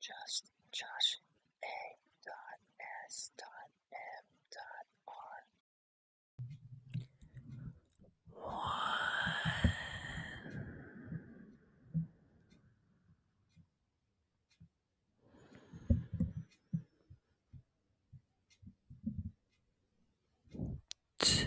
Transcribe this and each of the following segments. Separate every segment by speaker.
Speaker 1: Just Josh A. Dot Dot S. A.S.M.R. One. Two.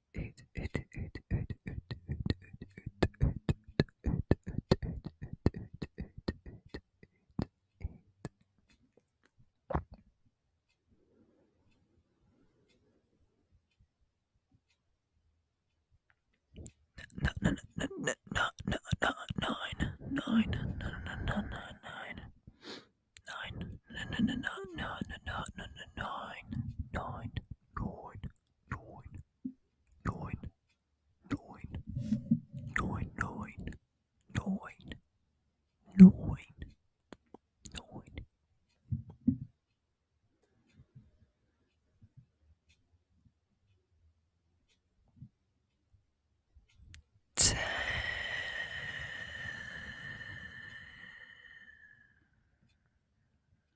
Speaker 1: no, no, no, no, no, no, nine, nine, no, no, no, no, nine, nine, no, no, no, no, no, no, no, no, nine, nine, nine neun,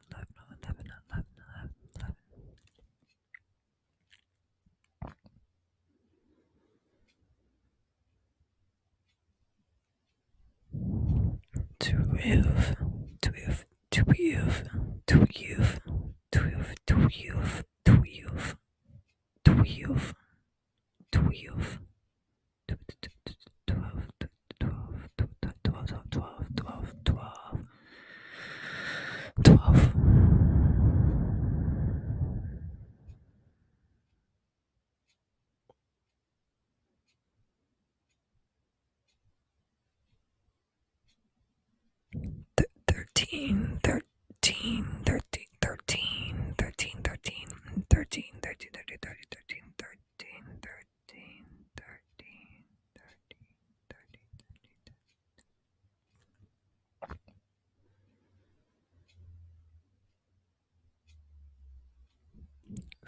Speaker 1: 11, 11, 11, 11, 11. Twelve, twelve, twelve, twelve, twelve, twelve, twelve, twelve, twelve, twelve, twelve, twelve, twelve, twelve, twelve, twelve, twelve. Th thirteen, thirteen, thirteen, thirteen, thirteen, thirteen, thirteen, thirteen, thirteen, thirteen, thirteen, thirteen, thirteen. 13, 13, 13, 13,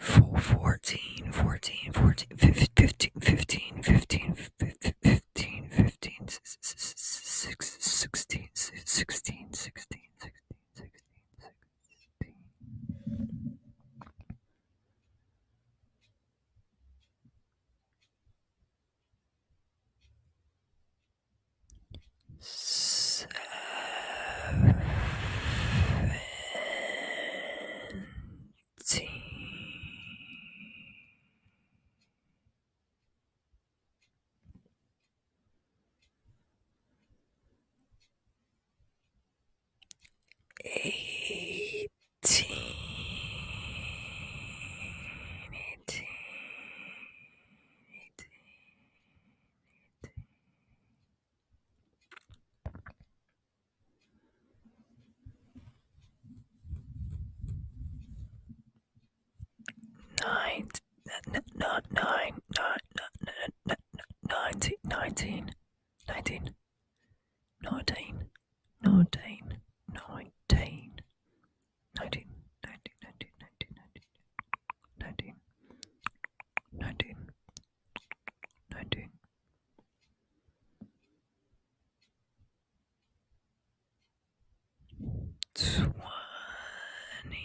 Speaker 1: 13, 13. Full 14, 14, 14, 15, 15, 15, 15, 15, 16, 16, 16, 16, 16, 16. Sixteen. Seven eighteen, eighteen, eighteen, nine, not nine, nine, nine, nine, nineteen, nineteen nineteen, nineteen, nineteen, nineteen, nineteen, nineteen, nineteen, nineteen, nineteen, nineteen, nineteen. Twenty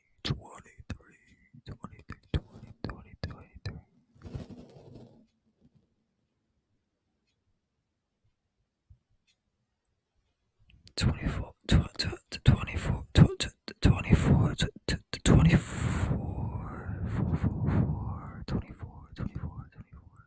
Speaker 1: 23, 23, 20, 20, 23. Twenty-four, twenty-four, twenty-four, twenty-four, four, four, four, twenty-four, twenty-four, twenty-four.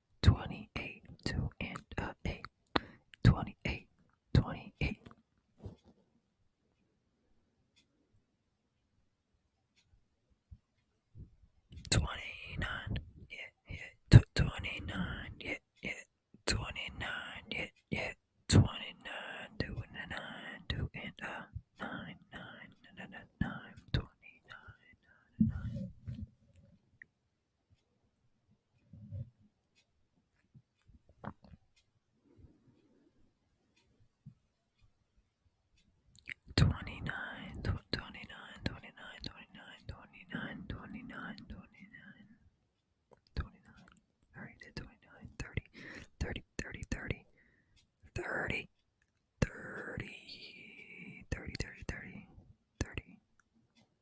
Speaker 1: 28, 2 and uh, 8, 28, 28. Twenty-nine, yeah, yeah, twenty-nine, yeah, yeah, twenty-nine, yeah, yeah, twenty-nine, two and a nine, two and a nine, nine, nine, nine, nine, twenty-nine, nine, nine. 29 29 29 29 29 29 29 29 Alright, did 29 30 30 30 30 30 30 30 30 30 30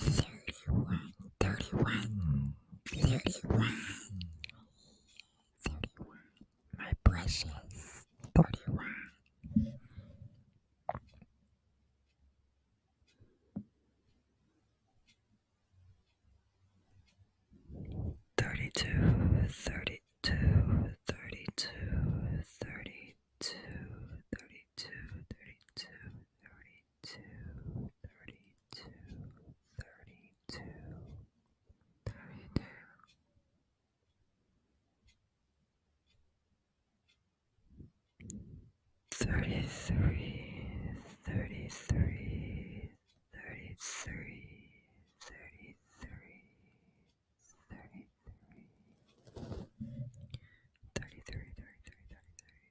Speaker 1: 31, 31, 31, 31, my precious 31. Thirty-two, thirty-two, thirty-two, thirty-two, thirty-two, thirty-two, thirty thirty-two, thirty-two, thirty-two, thirty-two. Thirty-three, thirty-three, thirty-three, thirty-three, thirty-three, thirty-three, thirty-three, thirty-three,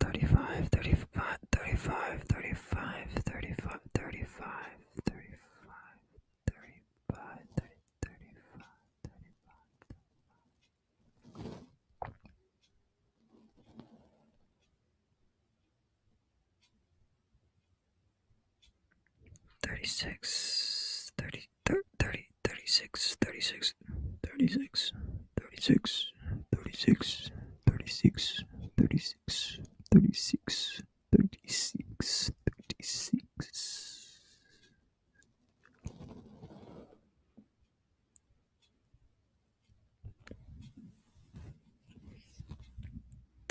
Speaker 1: 35 35 35 35 35 35 35 35 36 30, 36, 36, 36, 36, 36, 36, 36, 36, 36, 36.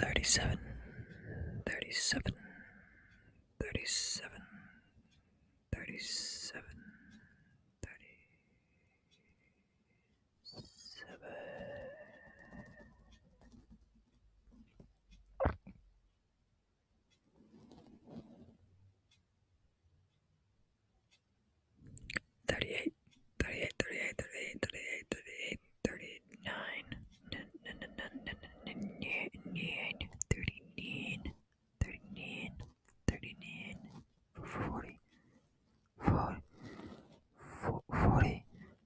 Speaker 1: Thirty-seven, thirty-seven, thirty-seven, 37 38 38 38 38 39 39 39 39 39 39 40 40 40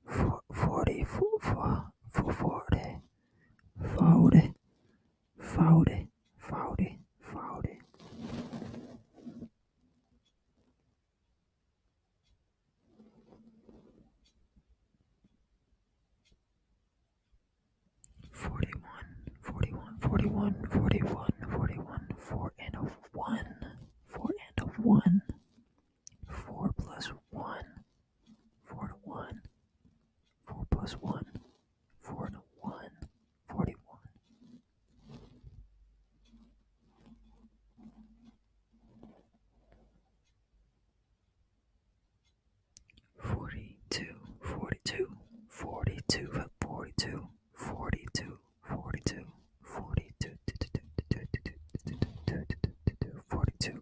Speaker 1: 40 40 40 40 40 40 41, 41, 41, 41, 41, 4 and a 1, 4 and a 1, 4 plus 1, 4 to 1, 4 plus 1, 4 and a 1, 41. 42 42 42 42 42 42 42 42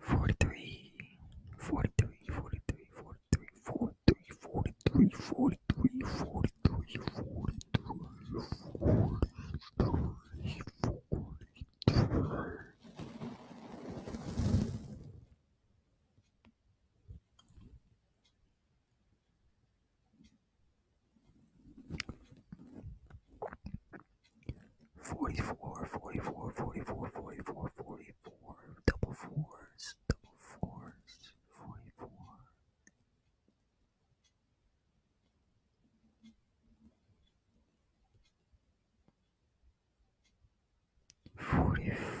Speaker 1: 43 43 43 43 44, 44, 44, 44, 44, double fours, double fours. 44. Forty five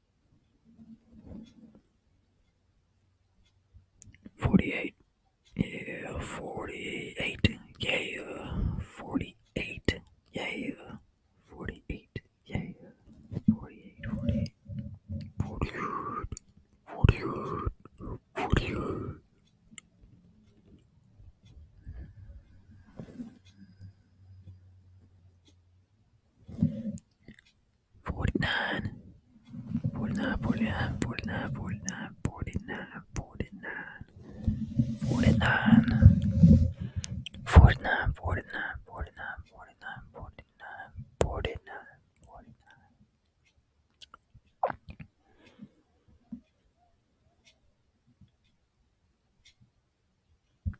Speaker 1: Forty-eight. Yeah, forty-eight. Yeah, forty-eight. Yeah, forty-eight. Yeah, forty-eight. Forty-eight. Forty-eight. Forty-eight. Forty-eight. 49 49 49 49 49 49 49 49 49 49 49 49 49 49 49